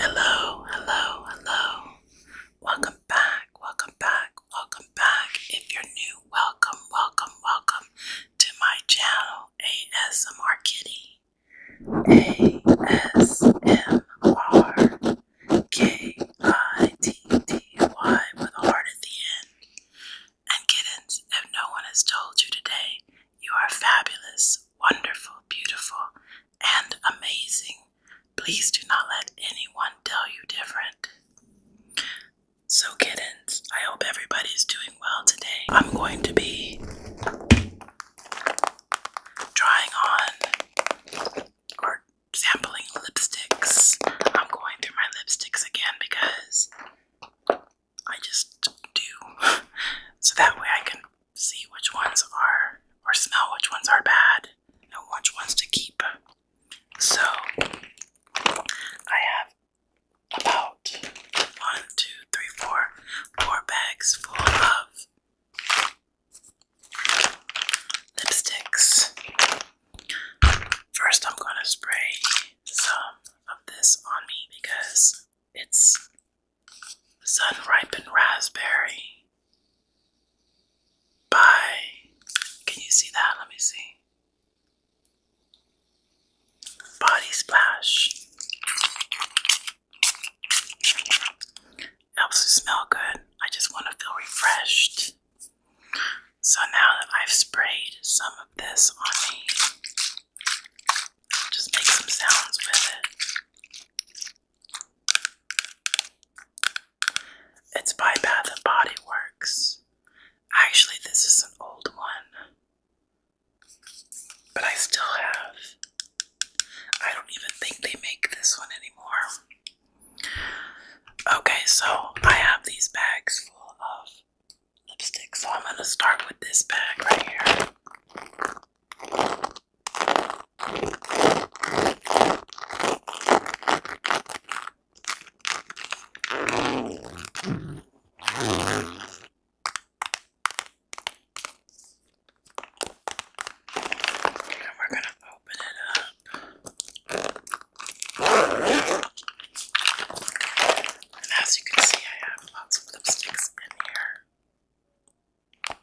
Hello, hello, hello. Welcome back, welcome back, welcome back. If you're new, welcome, welcome, welcome to my channel, ASMR Kitty. ASMR K I T T Y with a heart at the end. And kittens, if no one has told you today, you are fabulous, wonderful, beautiful, and amazing. Please do not let anyone tell you different. So, kittens, I hope everybody's doing well today. I'm going to be trying on sampling lipsticks. I'm going through my lipsticks again because I just do. so that way I can see which ones are, or smell which ones are bad and which ones to keep. So I have about one, two, three, four, four bags full of lipsticks. First, I'm gonna spray some of this on me because it's sun ripened raspberry by can you see that? Let me see. Body splash. Helps to smell good. I just want to feel refreshed. So now that I've sprayed some of this on me, just make some sounds with it. It's by Bath and Body Works. Actually, this is an old one, but I still have. I don't even think they make this one anymore. Okay, so I have these bags full of lipsticks. so I'm gonna start with this bag right here. And we're gonna open it up as you can see, I have lots of lipsticks in here.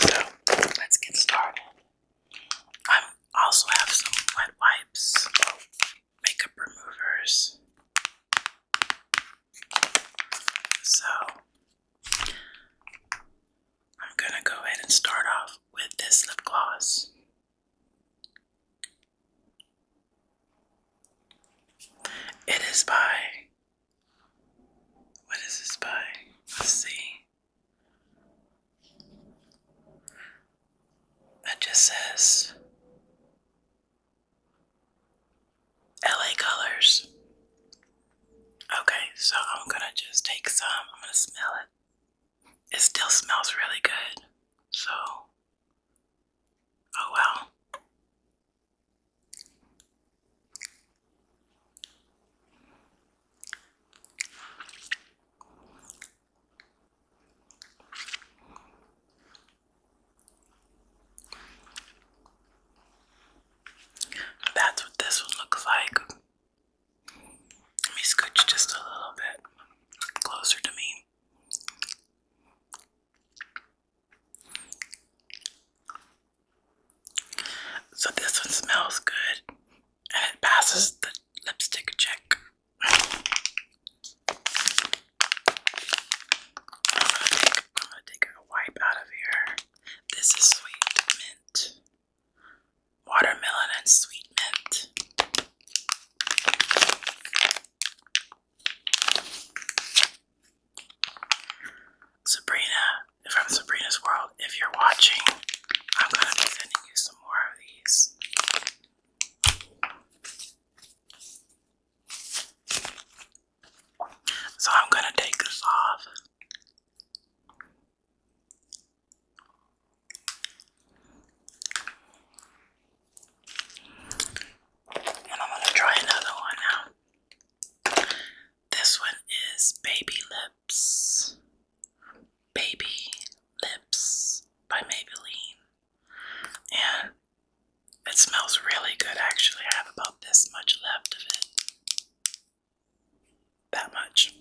So let's get started. I also have some wet wipes, makeup removers. So I'm gonna go ahead and start off with this lip gloss. It is by what is this by? Let's see. That just says LA Colors. Okay, so I'm gonna just take some, I'm gonna smell it. It still smells really good, so oh well. That's what this one looks like. Let me scooch just a little bit closer to me. So this one smells good and it passes the lipstick check. I'm gonna take a wipe out of here. This is sweet mint watermelon and sweet mint. Sabrina, from Sabrina's World, if you're watching, I'm going to be sending you some more of these. So I'm going to take this off. And I'm gonna try another one now. This one is Baby Lips. Baby Lips by Maybelline. And it smells really good actually. I have about this much left of it that much.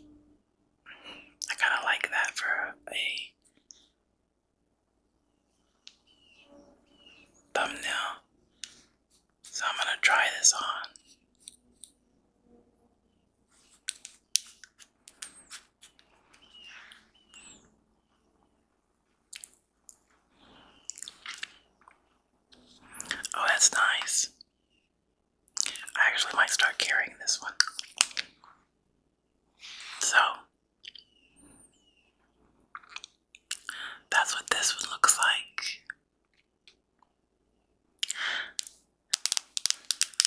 I kind of like that for a thumbnail. So I'm going to try this on. Oh, that's nice. I actually might start carrying this one. So, that's what this one looks like.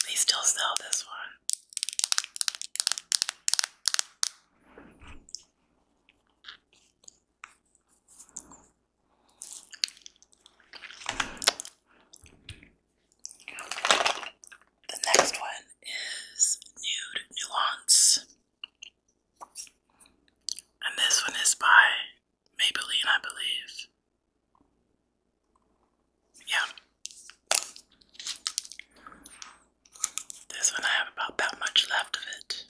They still sell this one. The next one is Nude Nuance. And this one is by Maybelline, I believe. Yeah. This one I have about that much left of it.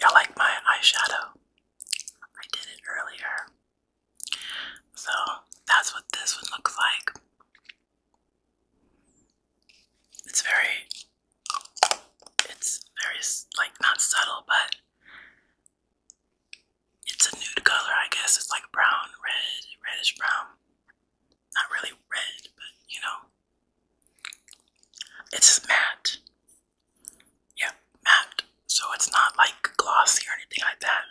Y'all like my eyeshadow? I did it earlier. So that's what this one looks like. It's very, it's very, like, not subtle, but it's a nude color, I guess. It's like brown, red, reddish brown. Not really red, but you know. It's matte. Yeah, matte. So it's not like glossy or anything like that.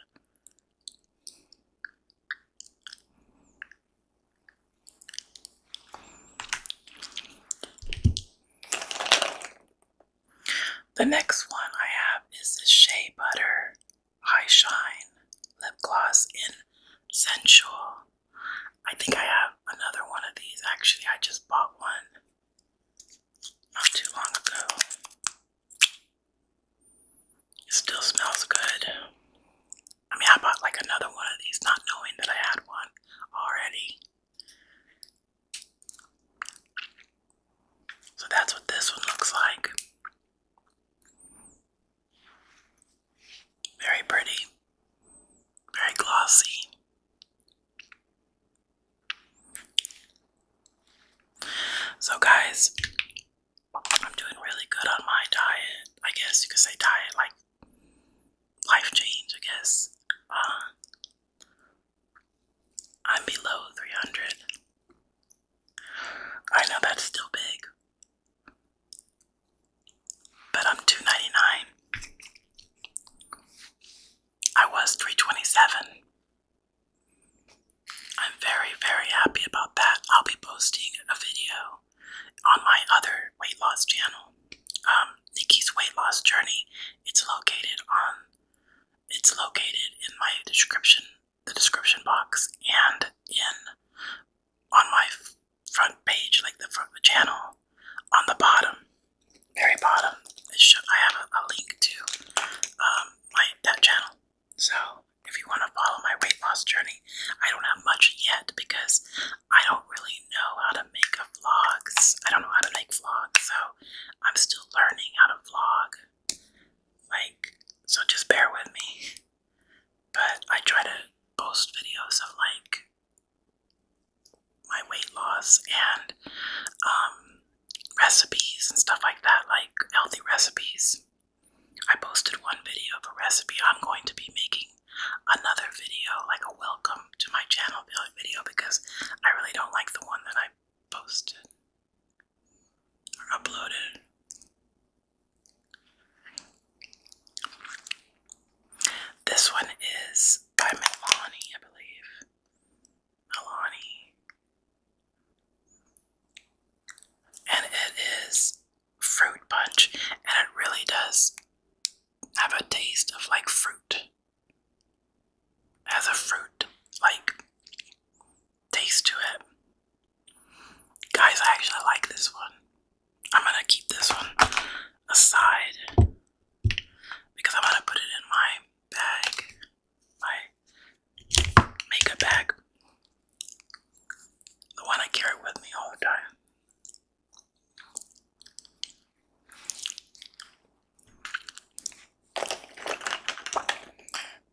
The next one I have is the Shea Butter High Shine lip gloss in Sensual. I think I have another one of these. Actually, I just bought one not too long ago. It still smells good. I mean, I bought like another one of these not knowing that I had one already. So that's what this one looks like. Very pretty, very glossy. So, guys, I'm doing really good on my diet. I guess you could say diet, like life change, I guess. Uh, I'm below 300. I know that's still big. But I'm two ninety nine. I was three twenty seven. I'm very, very happy about that. I'll be posting a video on my other weight loss channel, um, Nikki's Weight Loss Journey. It's located on it's located in my description, the description box, and in on my front page, like the front of the channel, on the bottom, very bottom, I have a, link to um, my that channel. So if you want to follow my weight loss journey, I don't have much yet because I don't really know how to make vlogs. I don't know how to make vlogs, so I'm still learning how to vlog. Like, so just bear with me. But I try to post videos of like my weight loss and um, recipes and stuff like that, like healthy recipes. I posted one video of a recipe. I'm going to be making another video, like a welcome to my channel video, because I really don't like the one that I posted or uploaded. This one is by Milani, I believe. Milani. And it is fruit punch, and it really does have a taste of like fruit. has a fruit like taste to it. Guys, I actually like this one. I'm gonna keep this one aside because I'm gonna put it in my bag, my makeup bag, the one I carry with me all the time.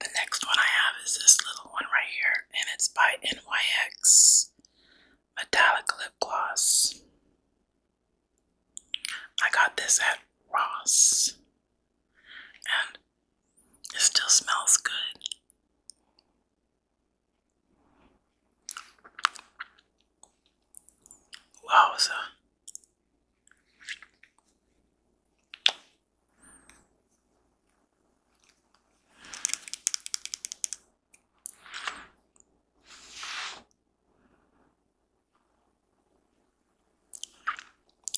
The next one I have is this little one right here, and it's by NYX metallic lip gloss. I got this at Ross and it still smells good. Wow,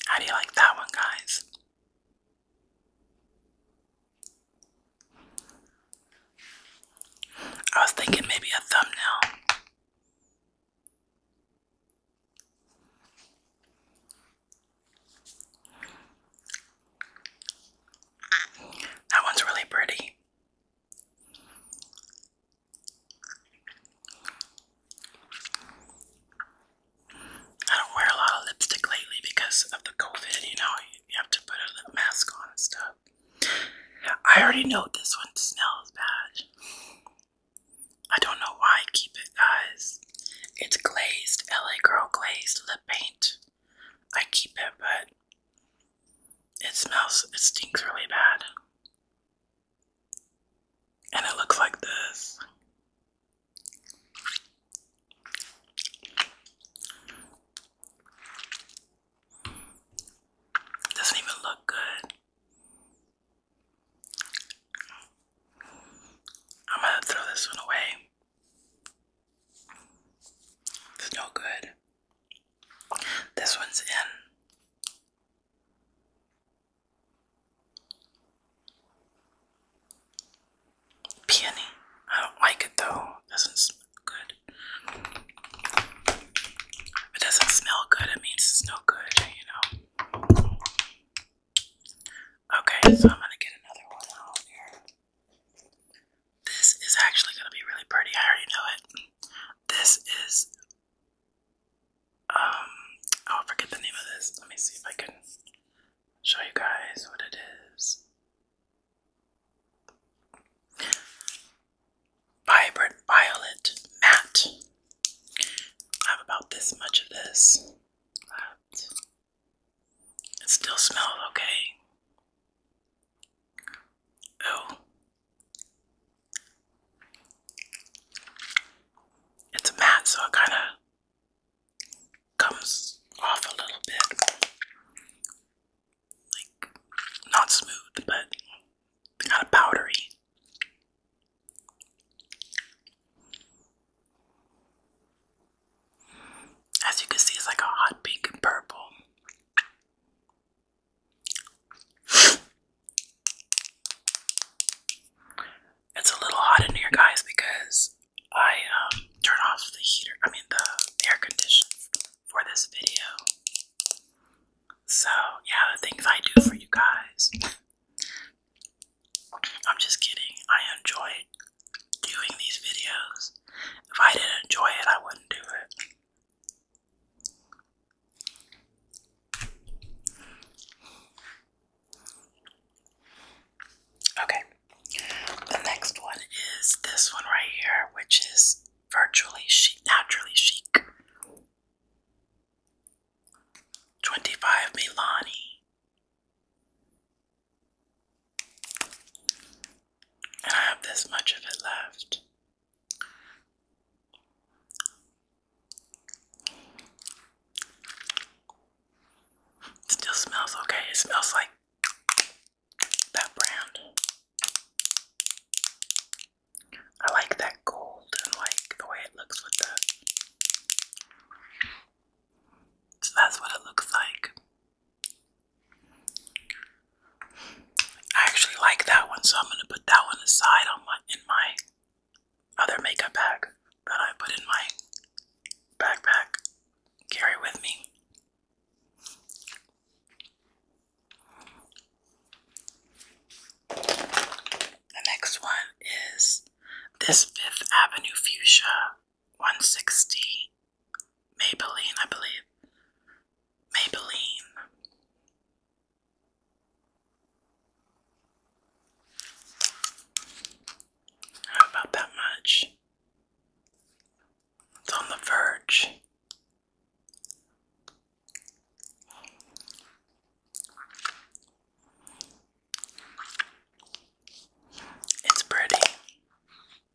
how do you like that one, guys? I was thinking maybe a thumbnail. That one's really pretty. I don't wear a lot of lipstick lately because of the COVID, you know, you have to put a mask on and stuff. I already know this one smells bad. I don't know why I keep it, guys. It's glazed, LA Girl glazed lip paint. I keep it, but it smells, it stinks really bad. And it looks like this. Doesn't even look good. I'm gonna throw this one away. It's no good. This one's in peony. I don't like it though. doesn't smell good. If it doesn't smell good, it means it's no good, you know. Okay, so I'm gonna get another one out here. This is actually going to be really pretty. I already know it. This is. Um, oh, I'll forget the name of this. Let me see if I can show you guys what it is. Vibrant Violet Matte. I have about this much of this left. It still smells okay. Oh. It's matte, so it kind of comes off a little bit. Like, not smooth, but kind of powdery. As you can see, it's like a hot pink and purple. It's a little hot in here, guys, because I um, off the heater, I mean, the air conditioner for this video. So, yeah, the things I do for you guys. I'm just kidding. I enjoy doing these videos. If I didn't enjoy it, I wouldn't do it. Okay, the next one is this one right here, which is virtually chic, naturally chic. 25 Milani and I have this much of it left. still smells okay. It smells like that brand. I like that gold and like the way it looks with the. So that's what it looks like. I actually like that one, so I'm gonna put that one aside on my in my other makeup bag that I put in my backpack. Carry with me. The next one is this Fifth Avenue Fuchsia 160 Maybelline, I believe. Maybelline. How about that much? It's on the verge. It's pretty.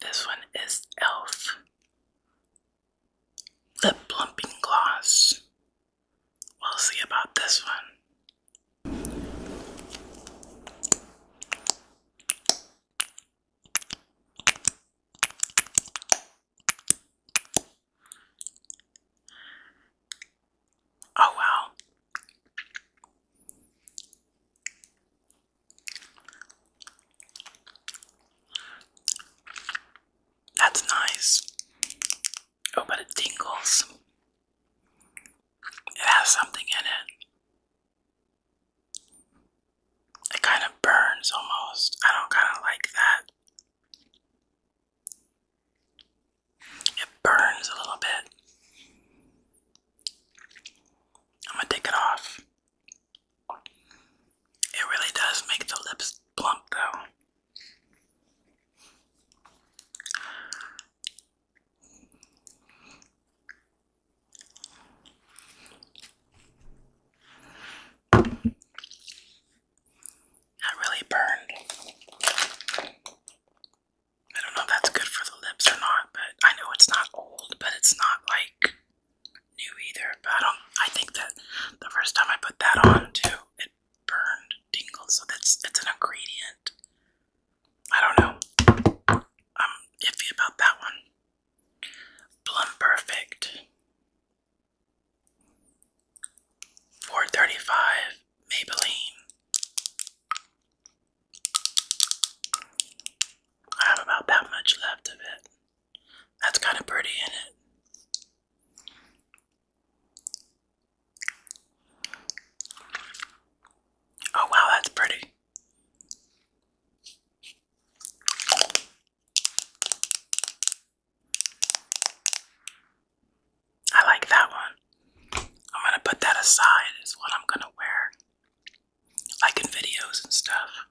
This one is e.l.f. Lip Plumping Gloss. We'll see about this one. Oh wow. That's nice. Oh, but it tingles. It has something in it. It kind of burns almost. I don't kind of like that. It burns a little bit. I'm gonna take it off. It really does make the lips plump though. I really burned. I don't know if that's good for the lips or not, but I know it's not old, but it's not like new either, but um, I think that the first time I put that on too, it burned tingle, so that's it's an ingredient. I don't know. I'm iffy about that one. Plum Perfect. 435 Maybelline. I have about that much left of it. That's kind of pretty, isn't it? Oh, wow, that's pretty. I like that one. I'm gonna put that aside, is what I'm gonna wear. Like in videos and stuff.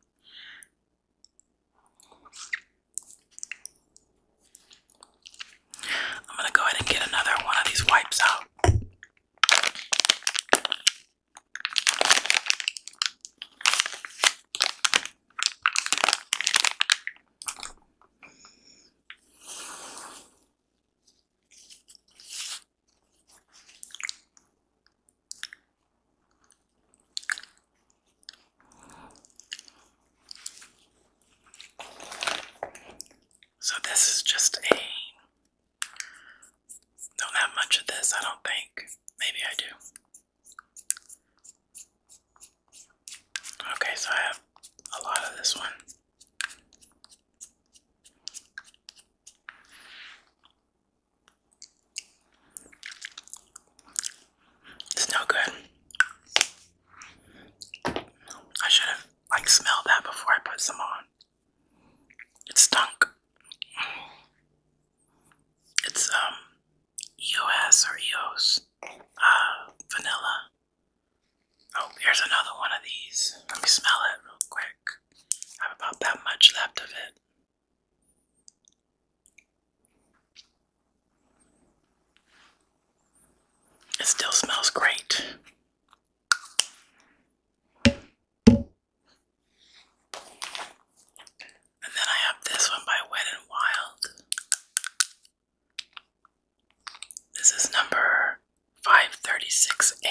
I'm gonna go ahead and get another one of these wipes out. So this is just a don't have much of this, I don't think. Maybe I do. Okay, so I have a lot of this one. It's no good. I should have like smelled that before I put some on. It stunk. It's um EOS or EOS uh vanilla. Oh, here's another one of these. Let me smell it real quick. I have about that much left of it. It still smells great. And then I have this one by Wet and Wild. This is number 536A.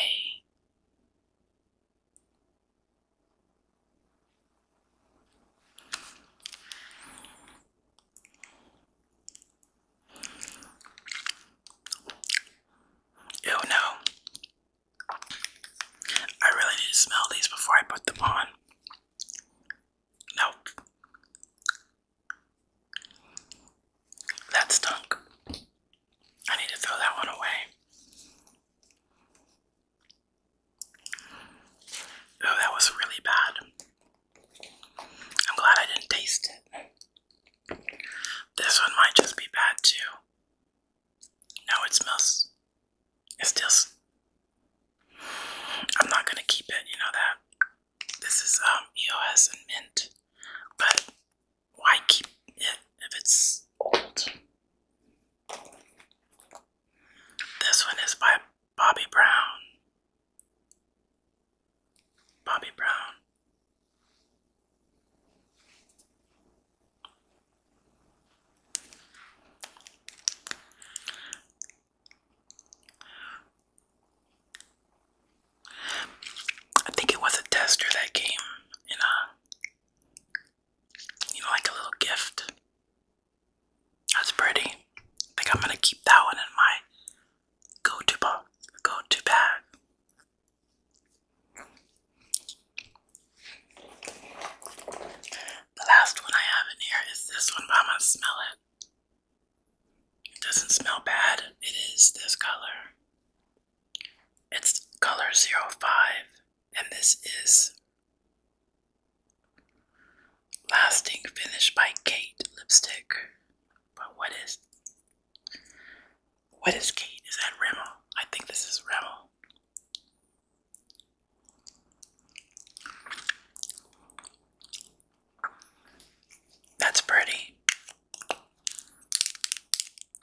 Ew, no. I really need to smell these before I put them on. Nope. That stunk. I need to throw that one away. Oh, that was really bad. I'm glad I didn't taste it. This one might just be bad too. No, it smells. It's still. I'm not gonna keep it, you know that. This is um EOS and mint, but why keep it if it's old? This one is by Bobby Brown. Bobby Brown. I think it was a tester that came in a uh, you like a little gift. That's pretty. I think I'm gonna keep that one in my go-to box, go-to bag. The last one I have in here is this one, but I'm gonna smell it. It doesn't smell bad. It is this color. It's color 05, and this is Lasting Finish by Kate Lipstick. But what is. What is Kate? Is that Rimmel? I think this is Rimmel. That's pretty.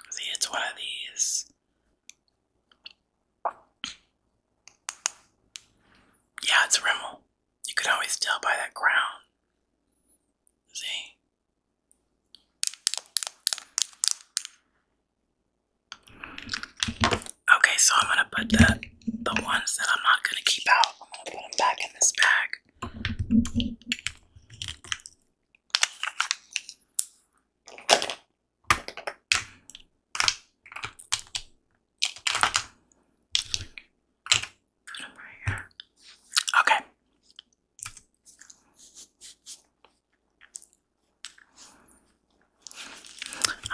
See, it's one of these yeah, it's Rimmel. You could always tell by that crown. See? Okay, so I'm gonna put the the ones that I'm not gonna keep out. I'm gonna put them back in this bag okay.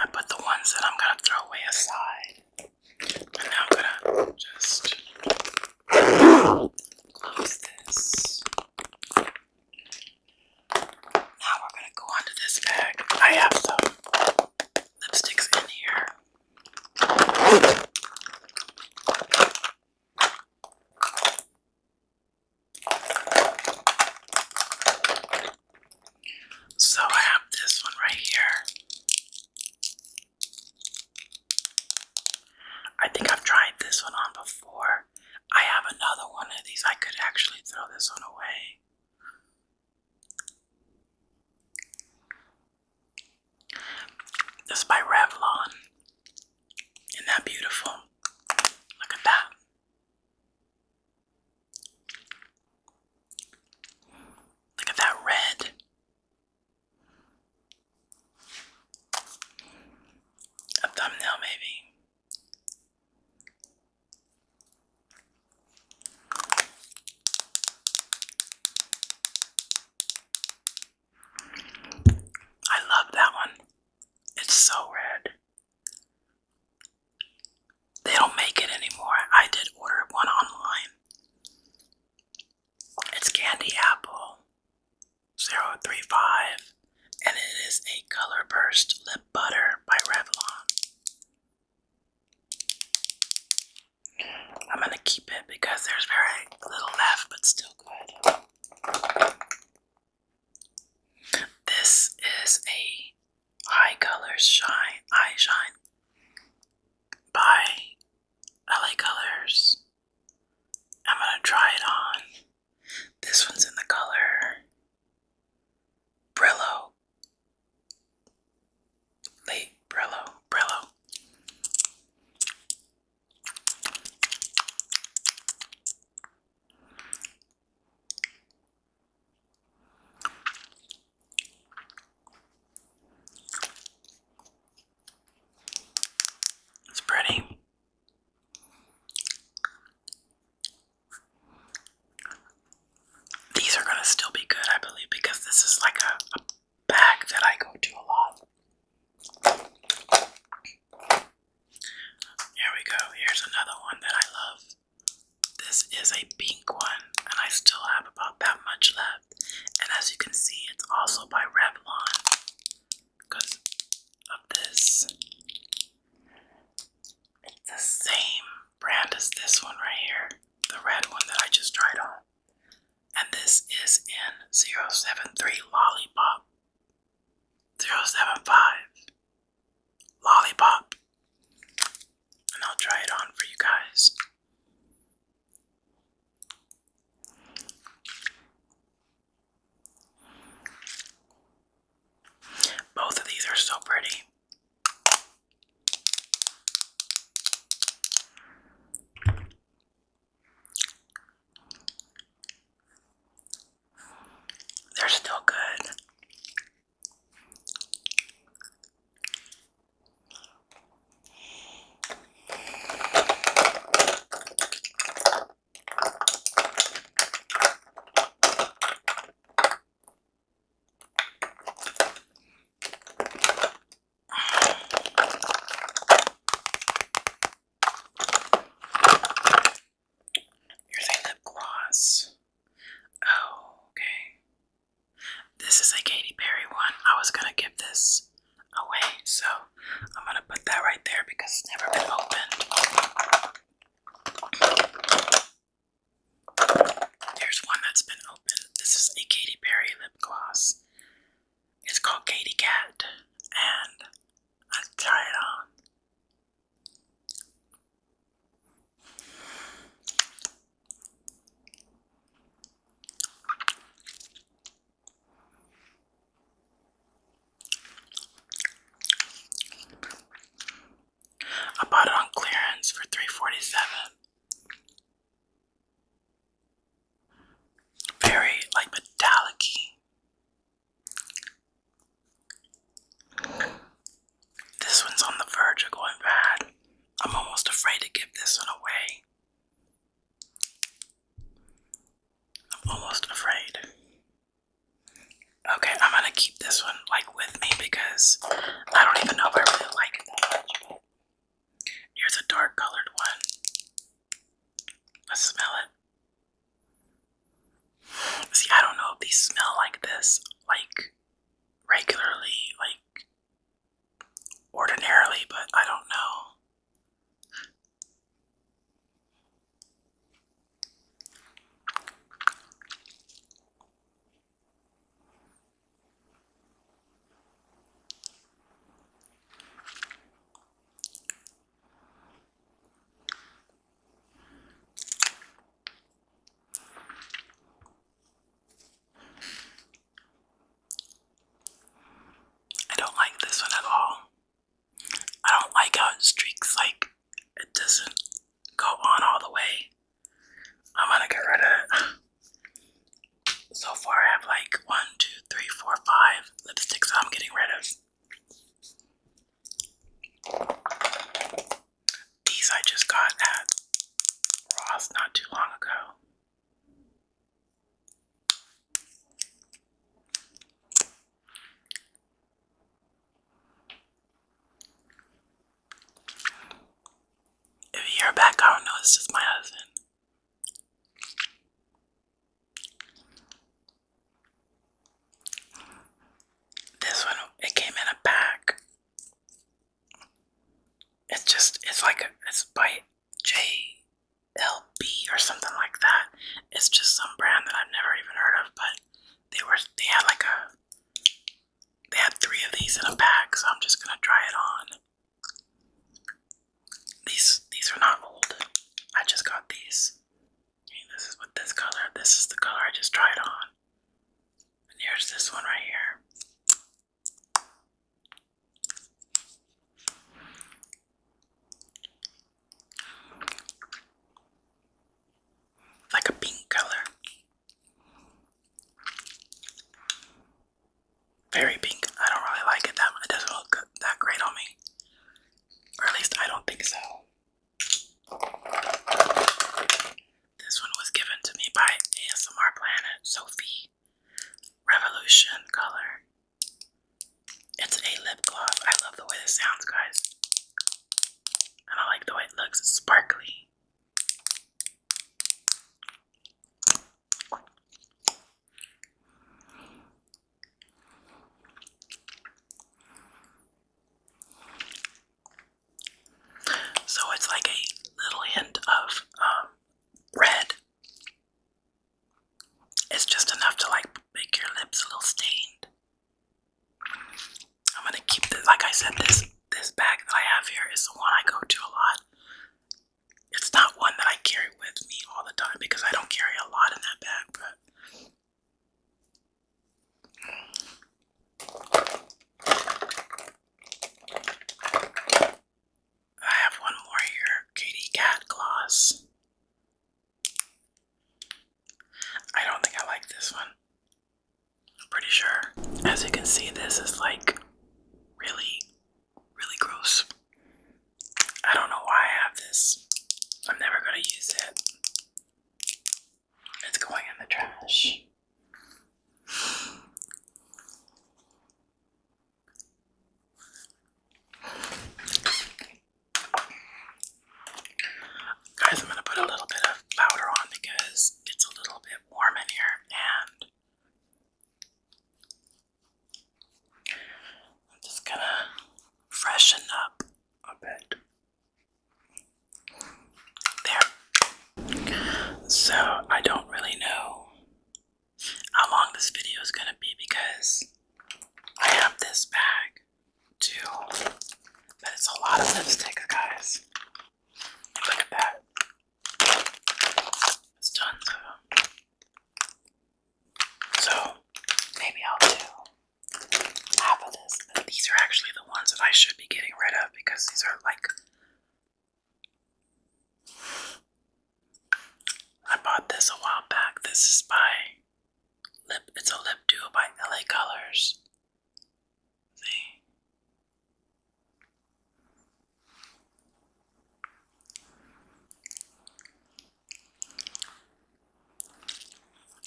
I put the ones that I'm gonna throw away aside. And now I'm gonna just close this. Now we're going to go on this bag. I have some lipsticks in here. So I have this one right here. I think I've tried this one on before. I have another one of these. I could actually throw this one away. This is by Revlon. Isn't that beautiful? Look at that. Look at that red. A thumbnail, maybe. I love that one. It's so red. They don't make it anymore. I did order one online. It's candy apple 035 and it is a Color Burst Lip Butter by Revlon. I'm going to keep it because there's very little left, but still good. This is a High Color Shine Eye Shine by LA Colors. I'm going to try it on. This one's in the color Brillo. Late Brillo. Brillo. It's pretty. These are gonna still be good, I believe, because this is like a, bag that I go to a lot. Here we go. Here's another one that I love. This is a pink one, and I still have about that much left. And as you can see, it's also by Revlon because of this. It's the same brand as this one right here, the red one that I just tried on. And this is in 073 Lollipop. 075 Lollipop. And I'll try it on for you guys. Both of these are so pretty. They're still good. Here's lip gloss. Oh, okay. This is a Katy Perry one. I was gonna give this away, so I'm gonna put that right there because it's never been opened. There's one that's been open. This is a Katy Perry lip gloss. It's called Katy Cat, and I try it on. I bought it on clearance for 347 Very like metallic This one's on the verge of going bad. I'm almost afraid to give this one away. I'm almost afraid. Okay, I'm gonna keep this one like with me because I don't even know if I really like it here's a dark colored one. Let's smell it. See, I don't know if these smell like this, like regularly, like ordinarily, but I don't know. I don't like this one at all. I don't like how it streaks like it doesn't go on all the way. I'm gonna get rid of it. So far, I have like one, two, three, four, five lipsticks I'm getting rid of. These I just got at Ross not too long ago. If you hear back, I don't know, it's just my husband. This one, it came in a pack. It's just, it's like, it's by JLB or something like that. It's just some brand that I've never even heard of, but they were, they had like a they have three of these in a pack, so I'm just gonna try it on. These these are not old. I just got these. this is with this color. This is the color I just tried on. And here's this one right here like a pink color. Very pink. I don't really like it that much. It doesn't look that great on me. Or at least I don't think so. This one was given to me by ASMR Planet Sophie Revolution Color. It's a lip gloss. I love the way this sounds, guys. I like the way it looks, sparkly. So it's like a little hint of um, red. It's just enough to like make your lips a little stained. I'm gonna keep this. Like I said, this this bag that I have here is the one I go to a lot. It's not one that I carry with me all the time because I don't carry a lot in that bag, but. I have one more here, Katy Cat Gloss. I don't think I like this one. I'm pretty sure. As you can see, this is like really, really gross. I don't know why I have this. I'm never going to use it. It's going in the trash. Guys, I'm going to put a little bit of powder on because it's a little bit warm in here and I'm just going to freshen up a bit. There. So, I don't really know how long this video is going to be because I have this bag Two. But a lot of lipstick, guys. Look at that. It's tons So, maybe I'll do half of this. these are actually the ones that I should be getting rid of because these are like. I bought this a while back. This is by lip. It's a lip duo by LA Colors.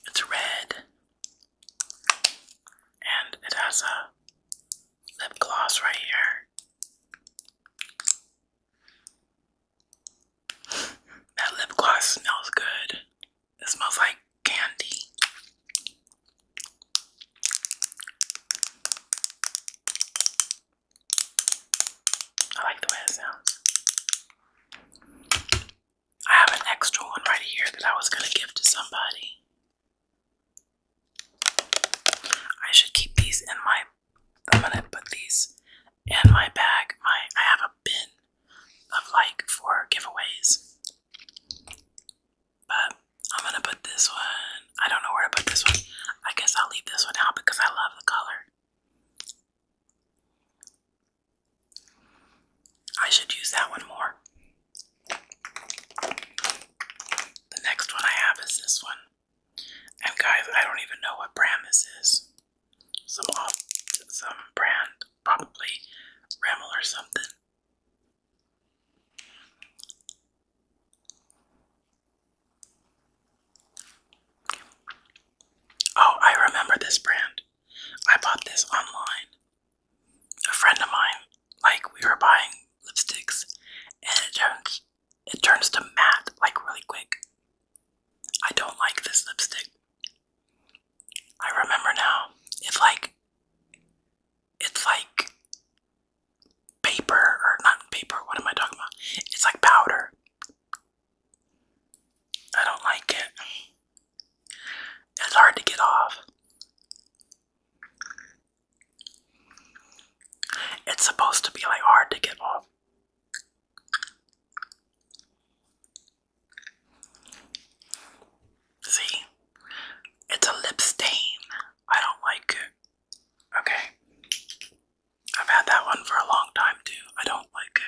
It's red and it has a lip gloss right here. that lip gloss smells good. It smells like candy. I like the way it sounds. I have an extra one right here that I was gonna give to somebody. I should keep these in my I'm gonna put these in my bag. My I have a bin of like for giveaways. But I'm gonna put this one. I don't know where to put this one. I guess I'll leave this one out because I love the color. I should use that one more. The next one I have is this one. And guys, I don't even know what brand this is. Some off, brand, probably Rimmel or something. Oh, I remember this brand. I bought this online. A friend of mine, like we were buying lipsticks, and it turns it turns to matte like really quick. I don't like this lipstick. I remember now. It's like it's like paper or not paper, what am I talking about? It's like powder. I don't like it. It's hard to get off. It's supposed to be like hard to get off. See? It's a lip stain. I don't like it. Okay. I've had that one for a long time too. I don't like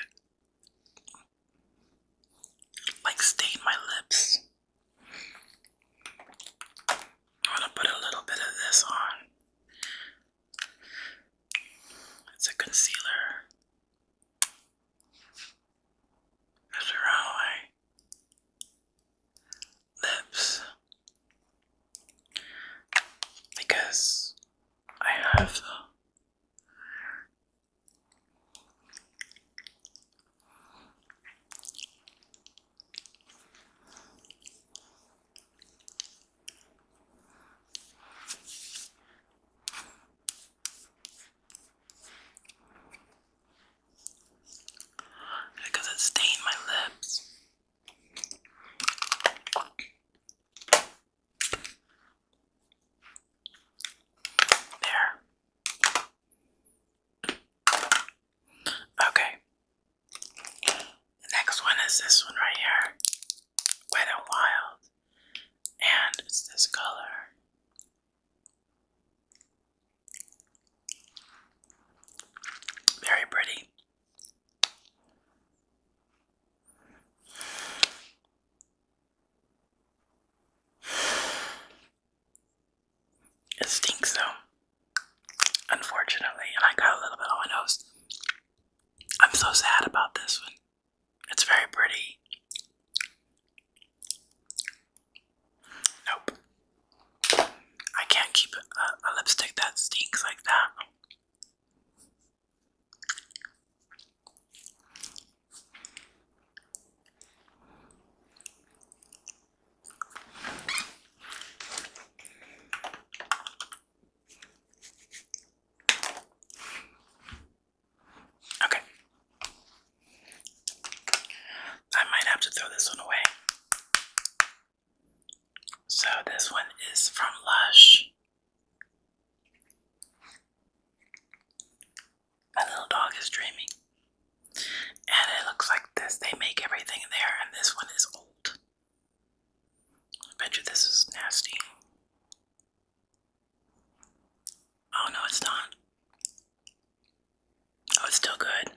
it. Like stain my lips. I'm gonna put a little bit of this on. It's a concealer. It's around lips because I have because it stained my lips. There. Okay. The next one is this one right here. Wet and Wild. And it's this color. Very pretty. It stinks though, unfortunately, and I got a little bit on my nose. I'm so sad about this one. It's very pretty. Nope. I can't keep a, lipstick that stinks like that. Okay. I might have to throw this one away. So this one is from Lush. My little dog is dreaming. And it looks like this. They make everything there, and this one is old. I bet you this is nasty. Oh no, it's not. Oh, it's still good.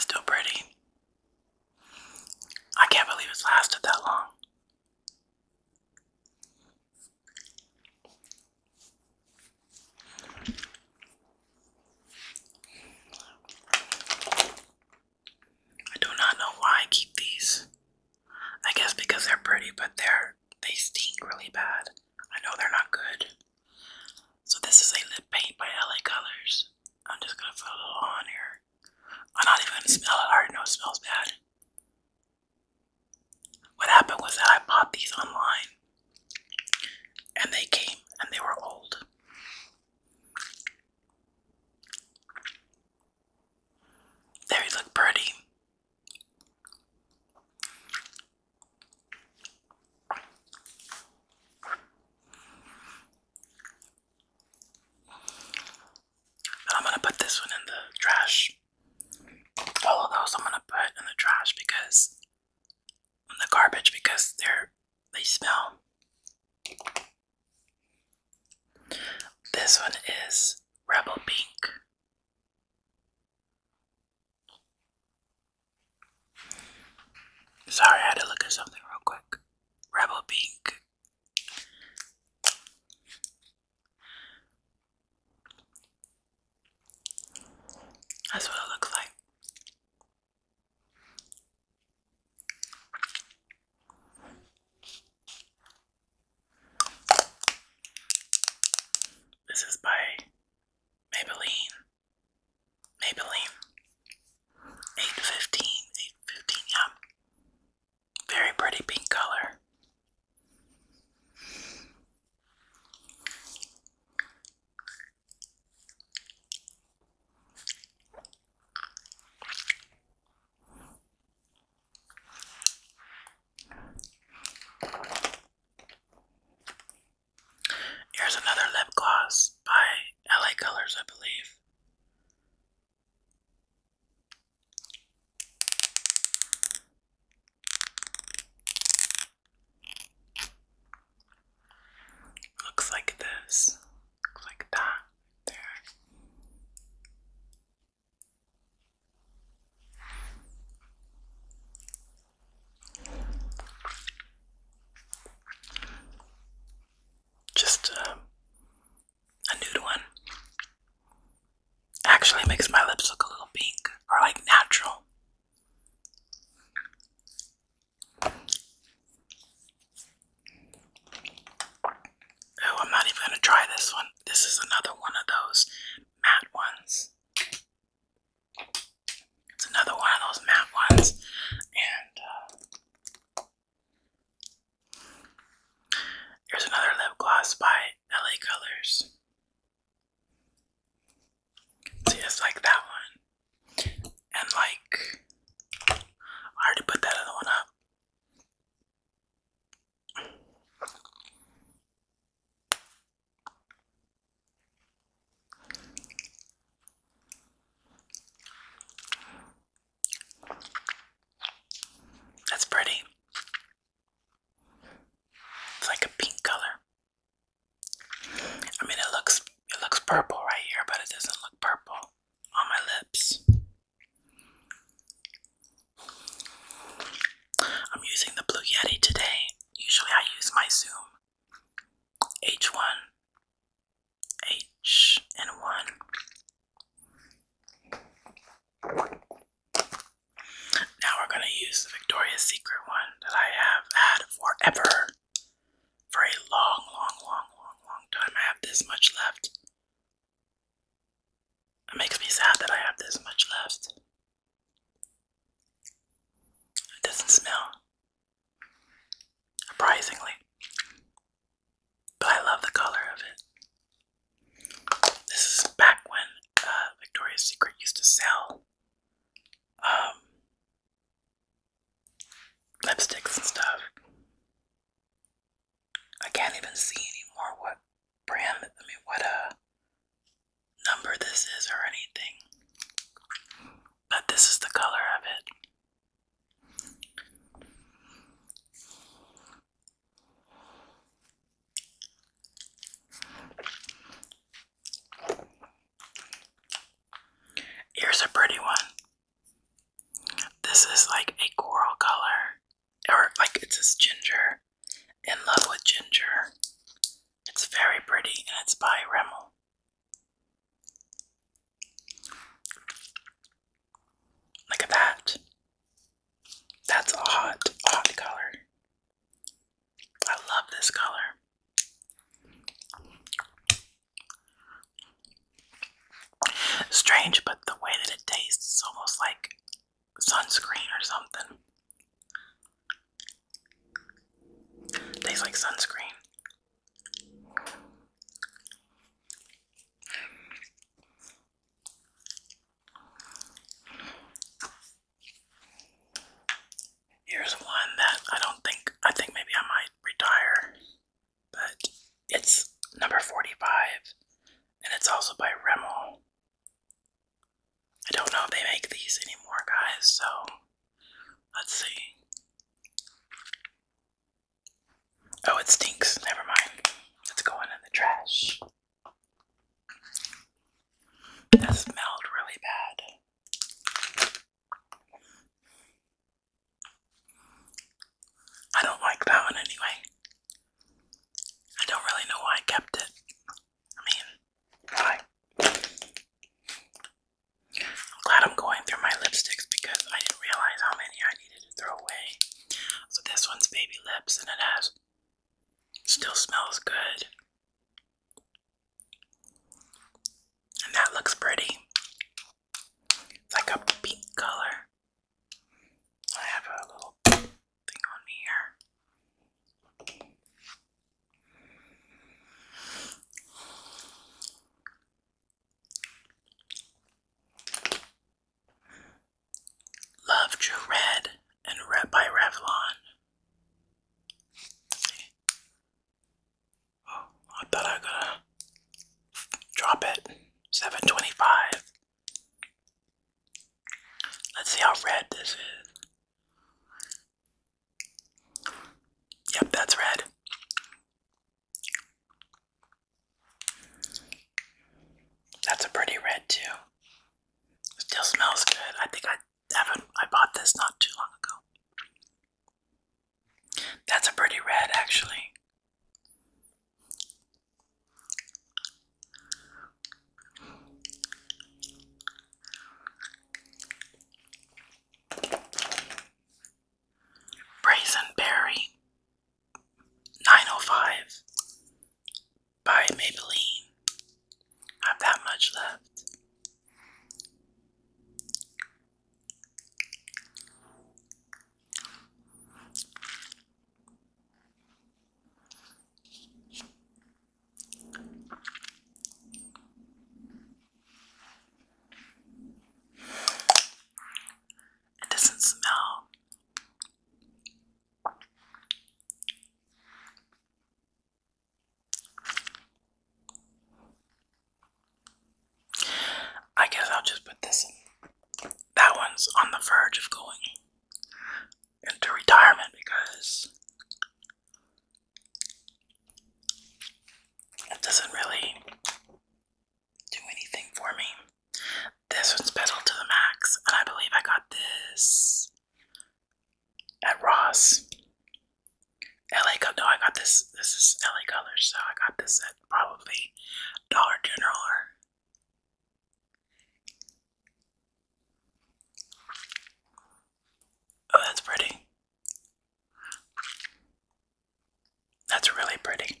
still pretty. I can't believe it's lasted that long. I do not know why I keep these. I guess because they're pretty, but they're they stink really bad. I know they're not good. So this is a lip paint by LA Colors. I'm just gonna put a little on here. I'm not even gonna smell it. I already know it smells bad. What happened was that I bought these online and they came and they were old. They look pretty. I'm going to put this one in the trash. All of those I'm gonna put in the trash because in the garbage because they're they smell. This one is Rebel Pink. Sorry, I had to look at something real quick. Rebel Pink. That's what it looks like. This is by Maybelline. Maybelline. 815. 815, Very pretty pink color. Here's another lip gloss by LA Colors, I believe. Looks like this. Looks like that there. Just um, a nude one. Actually makes my lips look a little pink or like natural. Oh, I'm not even going to try this one. This is another one of those matte ones. It's another one of those matte ones. And uh, here's another lip gloss by LA Colors. So like that one. And like, I already put that other one up. That's pretty. It's like a pink color. I mean, it looks it looks purple right here, but it doesn't look purple on my lips. I'm using the Blue Yeti today. Usually, I use my Zoom H1, H and one. Now we're going to use the Victoria's Secret one that I have had forever. For a long, long, long, long, long time. I have this much left. It makes me sad that I have this much left. It doesn't smell. Surprisingly. But I love the color of it. This is back when uh, Victoria's Secret used to sell um, lipsticks and stuff. I can't even see anymore what brand, I mean, what a uh, number this is or anything. But this is the color of it. Here's a pretty one. This is like a coral color, or like it says ginger. In love with ginger. It's very pretty and it's by Rimmel. Look at that. That's a hot, hot color. I love this color. Strange, but the way that it tastes almost like sunscreen or something. Tastes like sunscreen. Here's one that I don't think, I think maybe I might retire, but it's number 45 and it's also by Rimmel. I don't know if they make these anymore, guys, so let's see. Oh, it stinks. Never mind. It's going in the trash. That smelled really bad. I don't like that one anyway. I don't really know why I kept it. I mean, I'm glad I'm going through my lipsticks because I didn't realize how many I needed to throw away. So this one's baby lips and it has still smells good. And that looks pretty. It's like a pink color. I have a little thing on here. Love True Red and Red by Revlon. Oh, I thought I gotta drop it. 725. Let's see how red this is. Yep, that's red. That's a pretty red too. still smells good. I think I Evan, I bought this not too long ago. That's a pretty red, actually. Brazenberry, 905, by Maybelline. Not that much left. It doesn't smell. I guess I'll just put this That one's on the verge of going into retirement because it doesn't really do anything for me. This one's pedal to the max, and I believe I got this at Ross. LA Color. No, I got this. This is LA Colors, so I got this at probably Dollar General Oh, that's pretty. That's really pretty.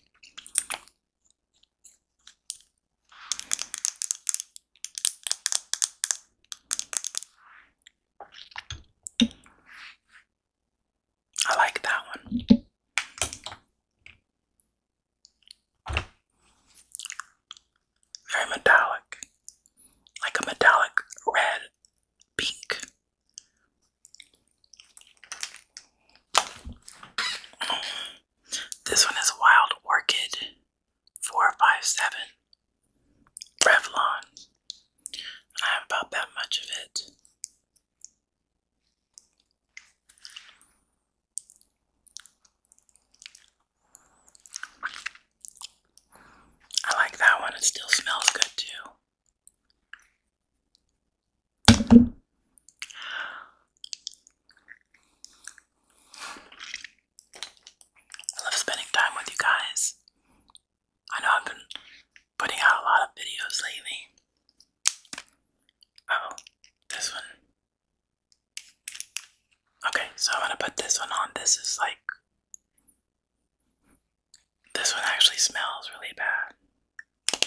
I like that one. Very metallic. Like a metallic red pink. This one is Wild Orchid. 457 Revlon. I have about that much of it. I like that one, it still smells good too. I love spending time with you guys. I know I've been putting out a lot of videos lately. Oh, this one. Okay, so I'm gonna put this one on. This is like. This one actually smells really bad.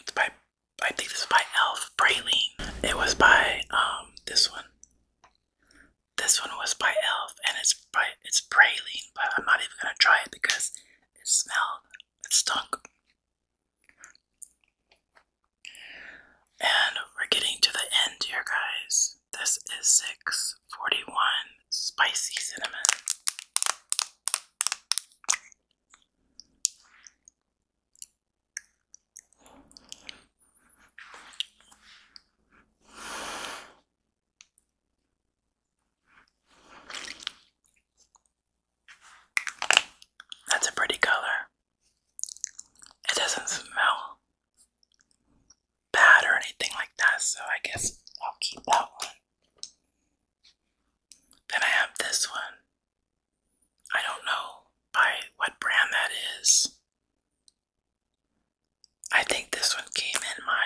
It's by. I think this is by Elf Praline. It was by um this one. This one was by Elf, and it's by it's praline, but I'm not even gonna try it because it smelled, it stunk. And we're getting to the end here, guys. This is six forty-one spicy cinnamon. That's a pretty color. It doesn't smell bad or anything like that, so I guess I'll keep that one. Then I have this one. I don't know by what brand that is. I think this one came in my.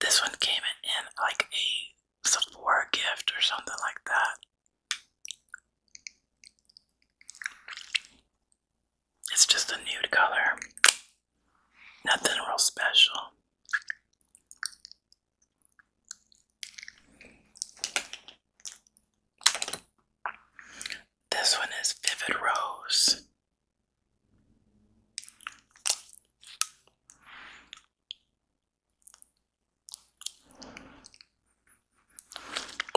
This one came in, like a Sephora gift or something like that. It's just a nude color. Nothing real special. This one is Vivid Rose.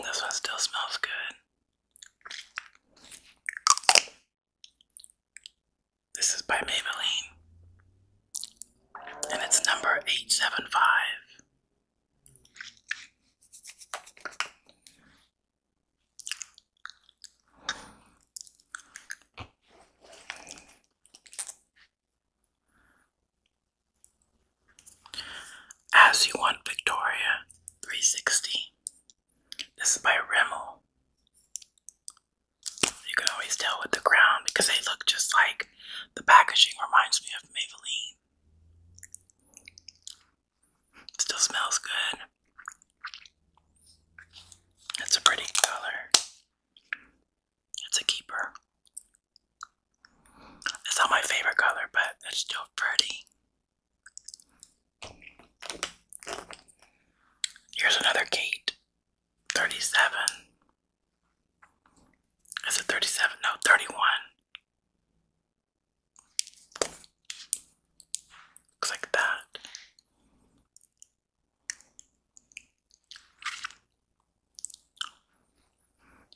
This one still smells good. This is by Maybelline. And it's number 875. As You Want Victoria 360. This is by Rimmel. You can always tell with the crown because they look just like the packaging reminds me of Maybelline still smells good. It's a pretty color. It's a keeper. It's not my favorite color, but it's still pretty. Here's another Kate. 37. Is it 37? No, 31 like that.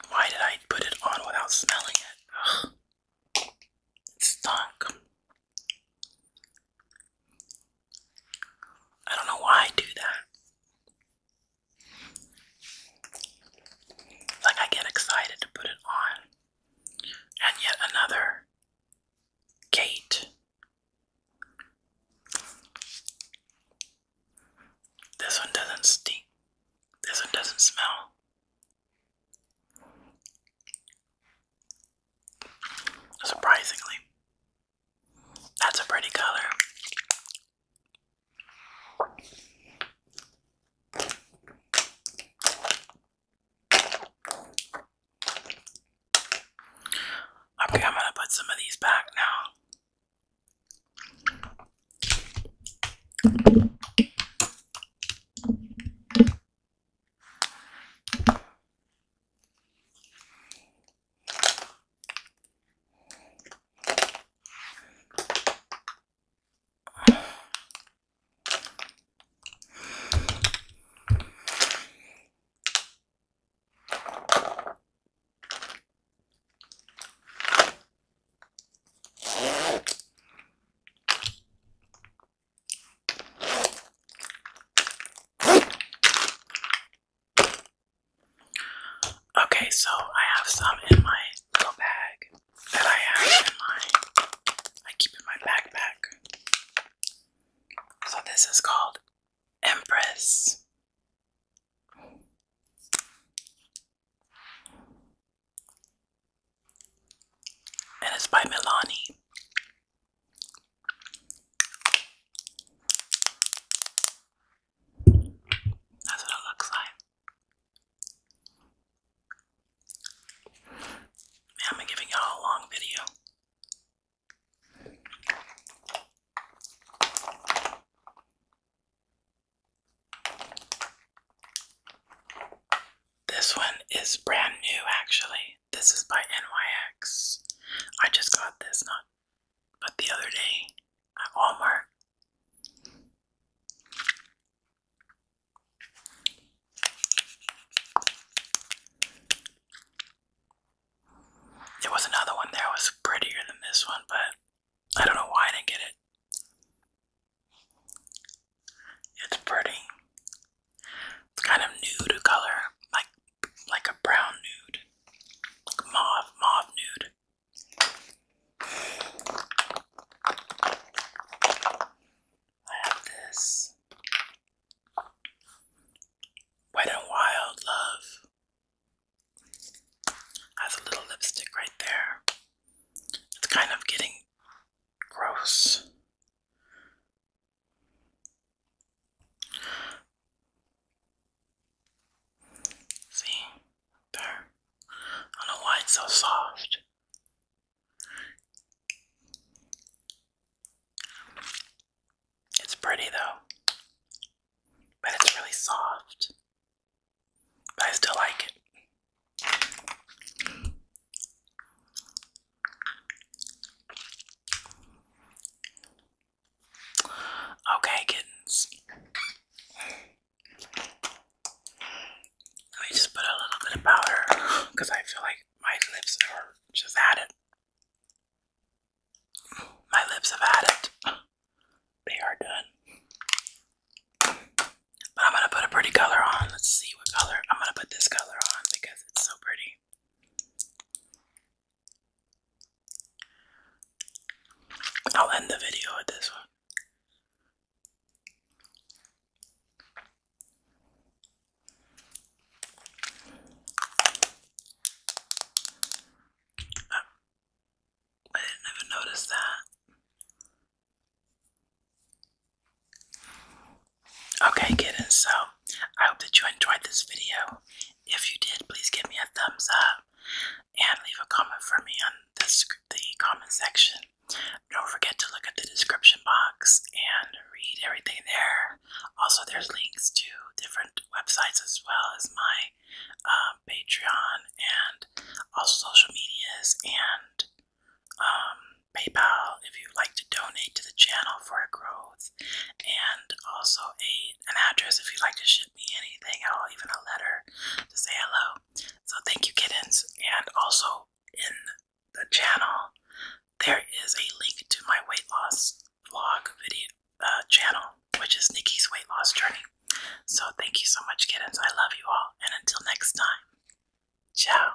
Why did I put it on without smelling it? It stunk. I don't know why I do that. Like I get excited to put it on. And yet another Kate. This one doesn't stink. This one doesn't smell. Surprisingly, that's a pretty color. Okay, I'm gonna put some of these back now. Okay, so I have some in my little bag that I have in my, I keep in my backpack. So this is called Empress. And it's by Milani. That's what it looks like. I'm giving y'all a long video. This one is brand new, actually. This is by NYX. I just got this not but the other day at Walmart. There was another one that was prettier than this one, but I don't know why I didn't get it. It's pretty. It's kind of nude color, like like a brown nude, mauve, mauve nude. I have this Wet and Wild Love. Has a little lipstick right there. It's kind of getting gross. See, Darn. I don't know why it's so soft. It's pretty though. But it's really soft. But I still like it. Okay, kittens. Let me just put a little bit of powder because I feel like my lips are just at it. My lips have had it. They are done. But I'm going to put a pretty color on. Let's see what color. I'm going to put this color on because it's so pretty. I'll end the video with this one. I didn't even notice that. Okay, kittens, so I hope that you enjoyed this video. If you did, please give me a thumbs up and leave a comment for me on this, the comment section. Don't forget to look at the description box and read everything there. Also, there's links to different websites as well as my um, Patreon and also social medias and um, PayPal if you'd like to donate to the channel for growth, and also a an address if you'd like to ship me anything or even a letter to say hello. So thank you, kittens. And also in the channel, there is a link to my weight loss vlog video uh, channel, which is Nikki's weight loss journey. So thank you so much, kittens. I love you all, and until next time, ciao.